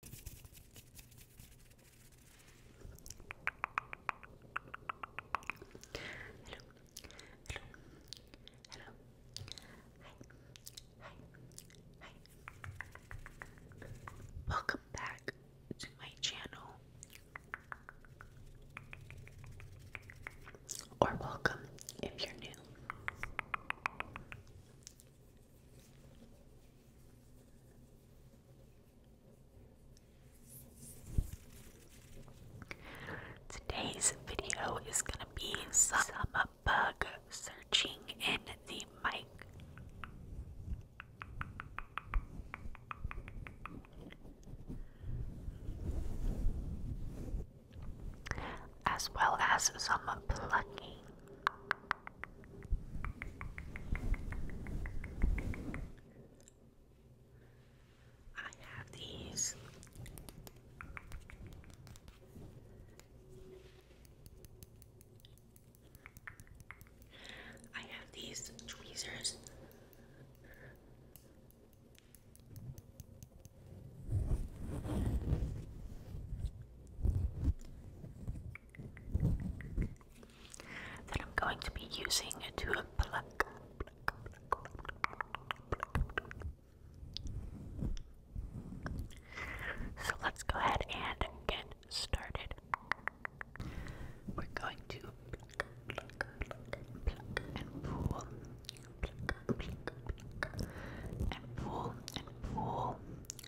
Hello, hello, hello. Hi, hi, hi. Welcome back to my channel. Or welcome if you're new. Today's video is going to be some bug searching in the mic. As well as some plucking. I have these I have these tweezers that I'm going to be using to pluck, So let's go ahead and get started. We're going to pluck, and pull, pluck, and pull and pull.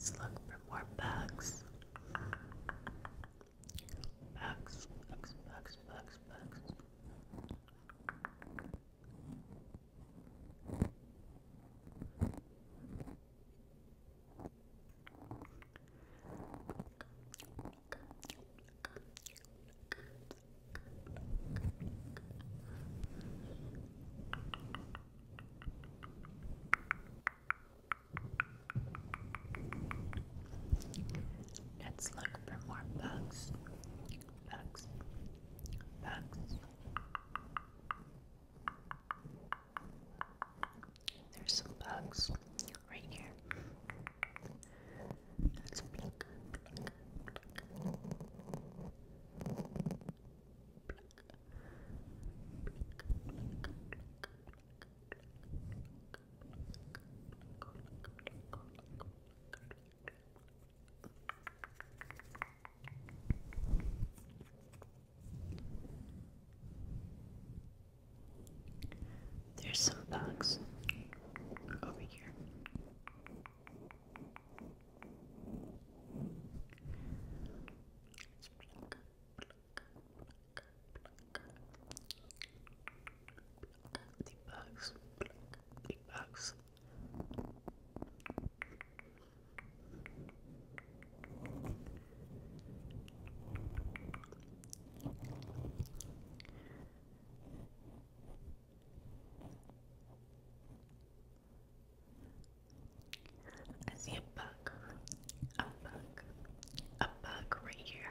Let's look for more bugs. Bugs, bugs, bugs, bugs, bugs. Let's look for more bugs. Max, Max. There's some bugs right here. There's some bugs over here. Pluck, pluck, pluck, pluck the box, the box. I see a bug, a bug, a bug right here.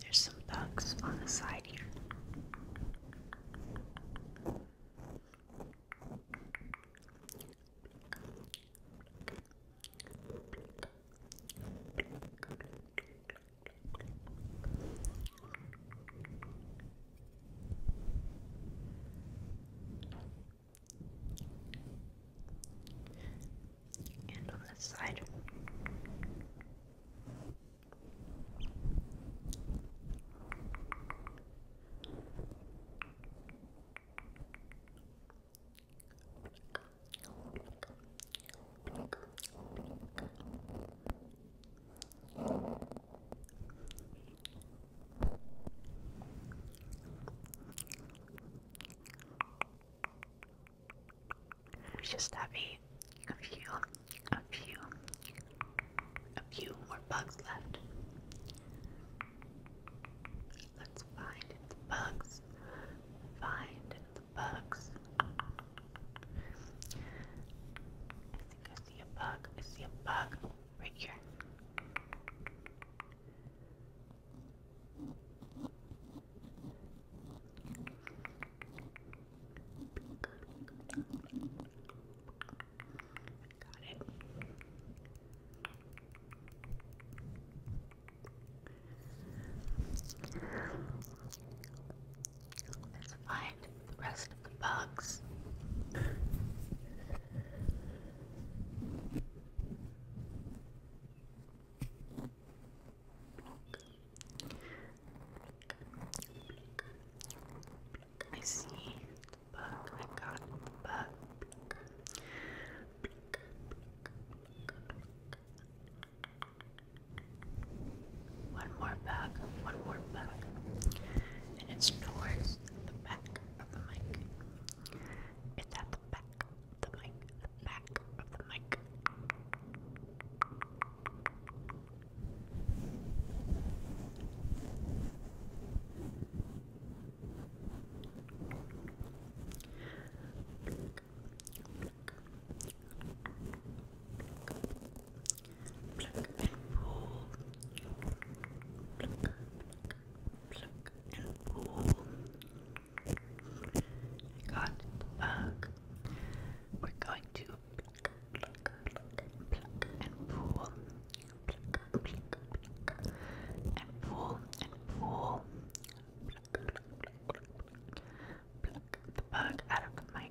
There's some bugs on the side here. And on this side. We just have a, few, a few, a few more bugs left. Let's find the bugs. Find the bugs. I think I see a bug. I see a bug right here. Got it. Let's find the rest of the bugs. I see bug. I got bug. One more bug. One more bug. And it's yours the back of the mic. It's at the back of the mic. The back of the mic. Pluck and got We're going to pluck, pluck, pluck, and pull. and pull and pull. the bug out of the mic.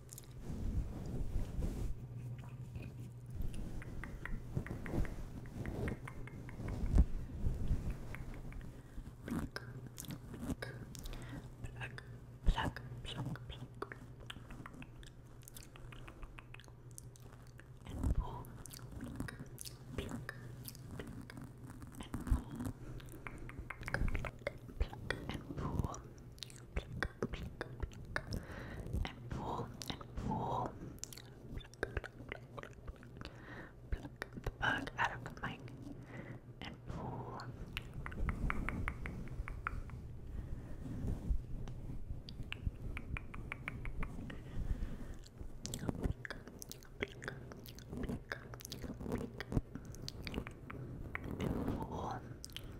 Pluck, pluck, pluck, pluck, pluck, pluck. And pull, pluck, pluck, pluck, and pull. Pluck, pluck, and pull. Pluck, pluck, pluck, and pull and pull. the bug out of the mic and pull.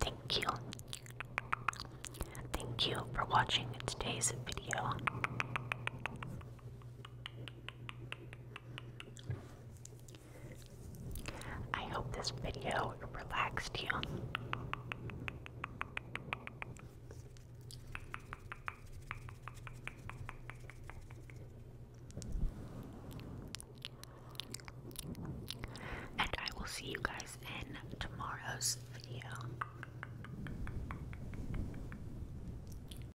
Thank you. Thank you for watching today's video. I hope this video relaxed you. And I will see you guys in tomorrow's video.